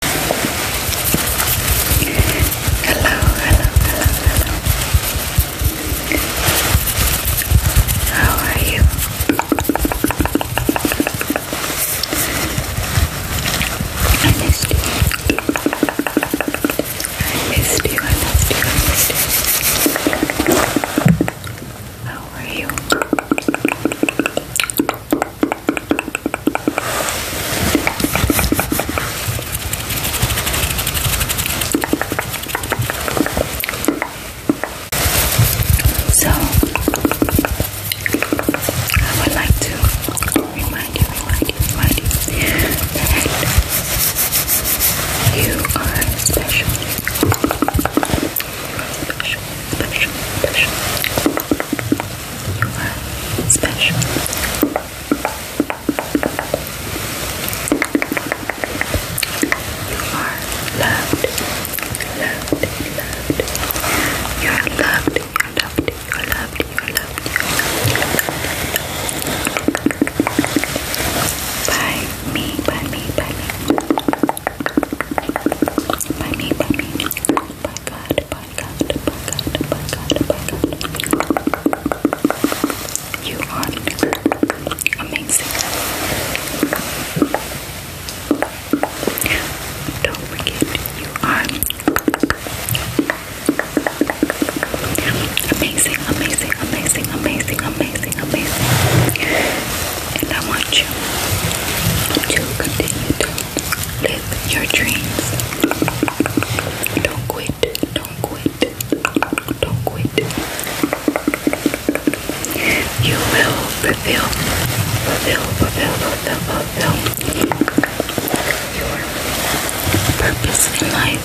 hello, hello, hello. How are you. I missed you, I missed you, I missed you. How are you? So, I would like to remind you, remind you, that you are special. special, special, special. You are special. You are loved. Loved, loved. loved. You're loved. You're loved. You're loved. You're loved. by me, by me. By me, by me. By God. You are amazing. Don't forget, you are amazing, amazing, amazing, amazing, amazing, amazing. And I want you to continue Live your dreams. Don't quit. Don't quit. Don't quit. You will fulfill, fulfill, fulfill, fulfill, fulfill your purpose in life.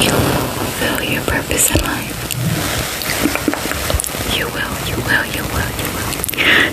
You will fulfill your purpose in life. You will, you will, you will, you will.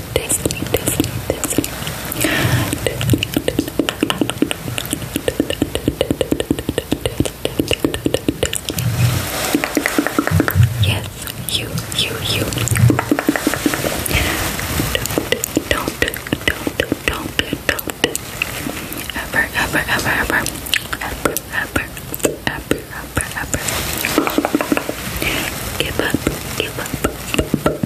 Disney, Disney, Disney, Disney. Yes, you, you, you. Don't, don't, don't, don't. Ever, ever, ever, ever. Ever, ever, ever, ever, ever. Give up, give up.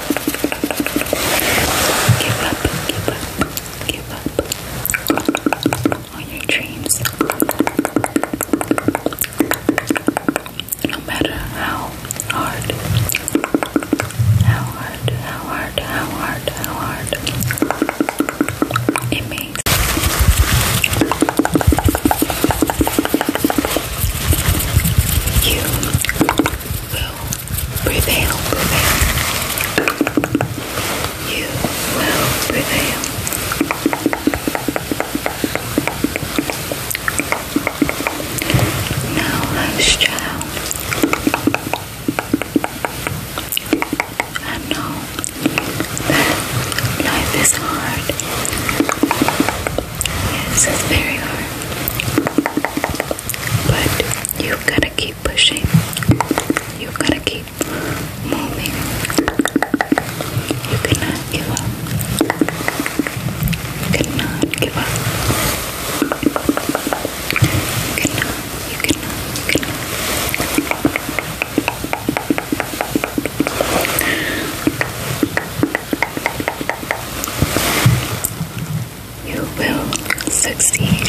Give up, give up, give up on your dreams. No matter how hard, how hard, how hard, how hard, how hard it means You will prevail, prevail. You will prevail. Now, child. I know that life is hard. Yes, it's very hard. But you got to keep pushing. you got to keep moving. You cannot give up. You cannot give up. you cannot, you cannot. You will succeed,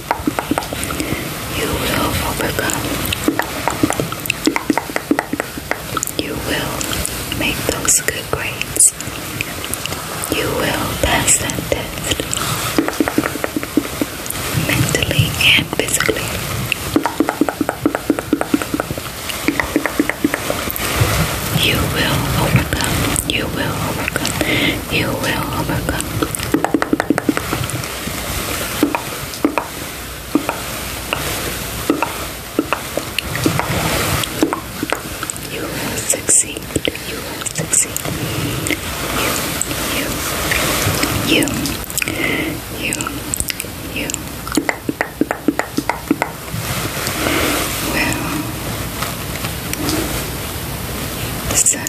You will overcome. You will make those good grades. You will pass that test mentally and physically. You will overcome. You will overcome. You will overcome. You will succeed. You will succeed. You, you, you, you, you will. The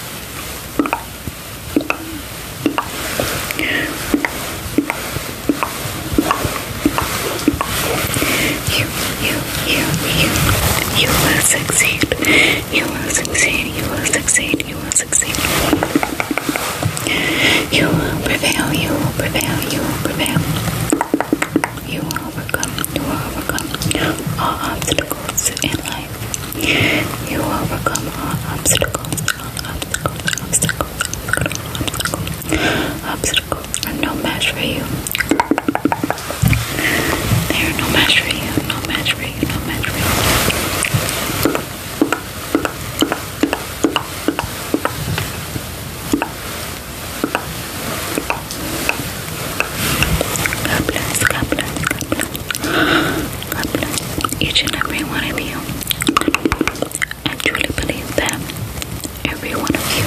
You, you, you, you, you will succeed. You will succeed. You will succeed. You will succeed. You will prevail. You will prevail. You will prevail. You you will overcome all obstacles in life. You will overcome all obstacles, all obstacles, obstacles, obstacles, obstacles are no match for you. They are no match for you, no match for you, no match for you each and every one of you. I truly believe that every one of you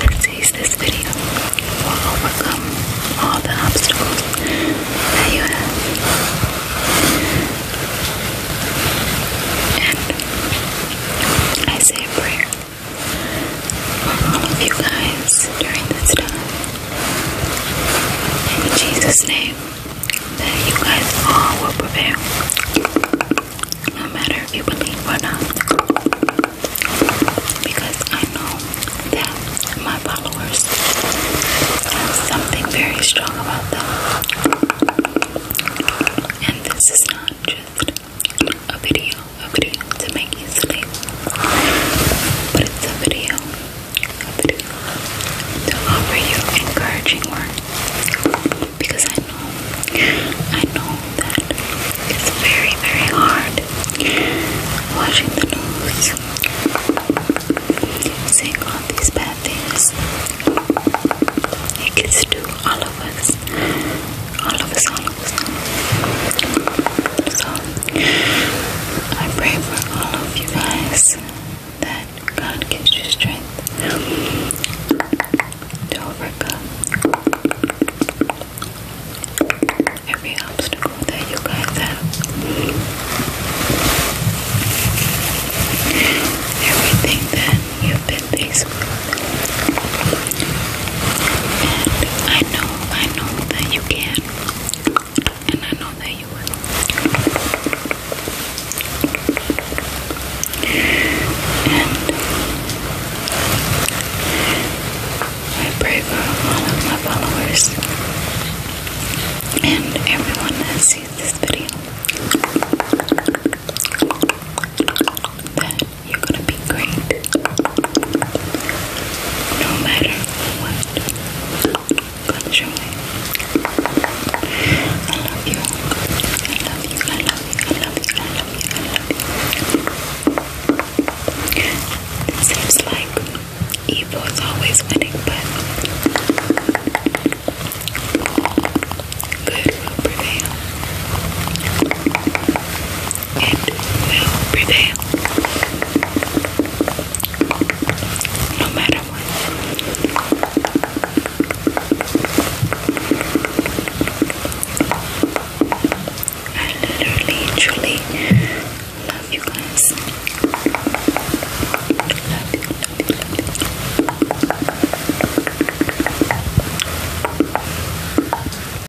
that sees this video will overcome all the obstacles that you have. And I say a prayer all of you guys during this time. In Jesus' name, that you guys all will prevail. No matter if you believe or not. Because I know that my followers have something very strong about them. And this is not just a video a video to make you sleep. But it's a video, a video to offer you encouraging words. Because I know, I know that it's very, very hard watching the news, seeing all these bad things. It gets to all of us all of us, all of us, all of us. I pray for all of you guys that God gives you strength to overcome every obstacle that you guys have. Everything that you've been faced And I know I know that you can, and I know that you will. And I pray for all of my followers and everyone that sees this video that you're gonna be great. No matter what. Gonna I love you. I love you. I love you. I love you. I love you. seems like evil is always winning, but good will it will prevail. No matter what. I literally, truly love you guys.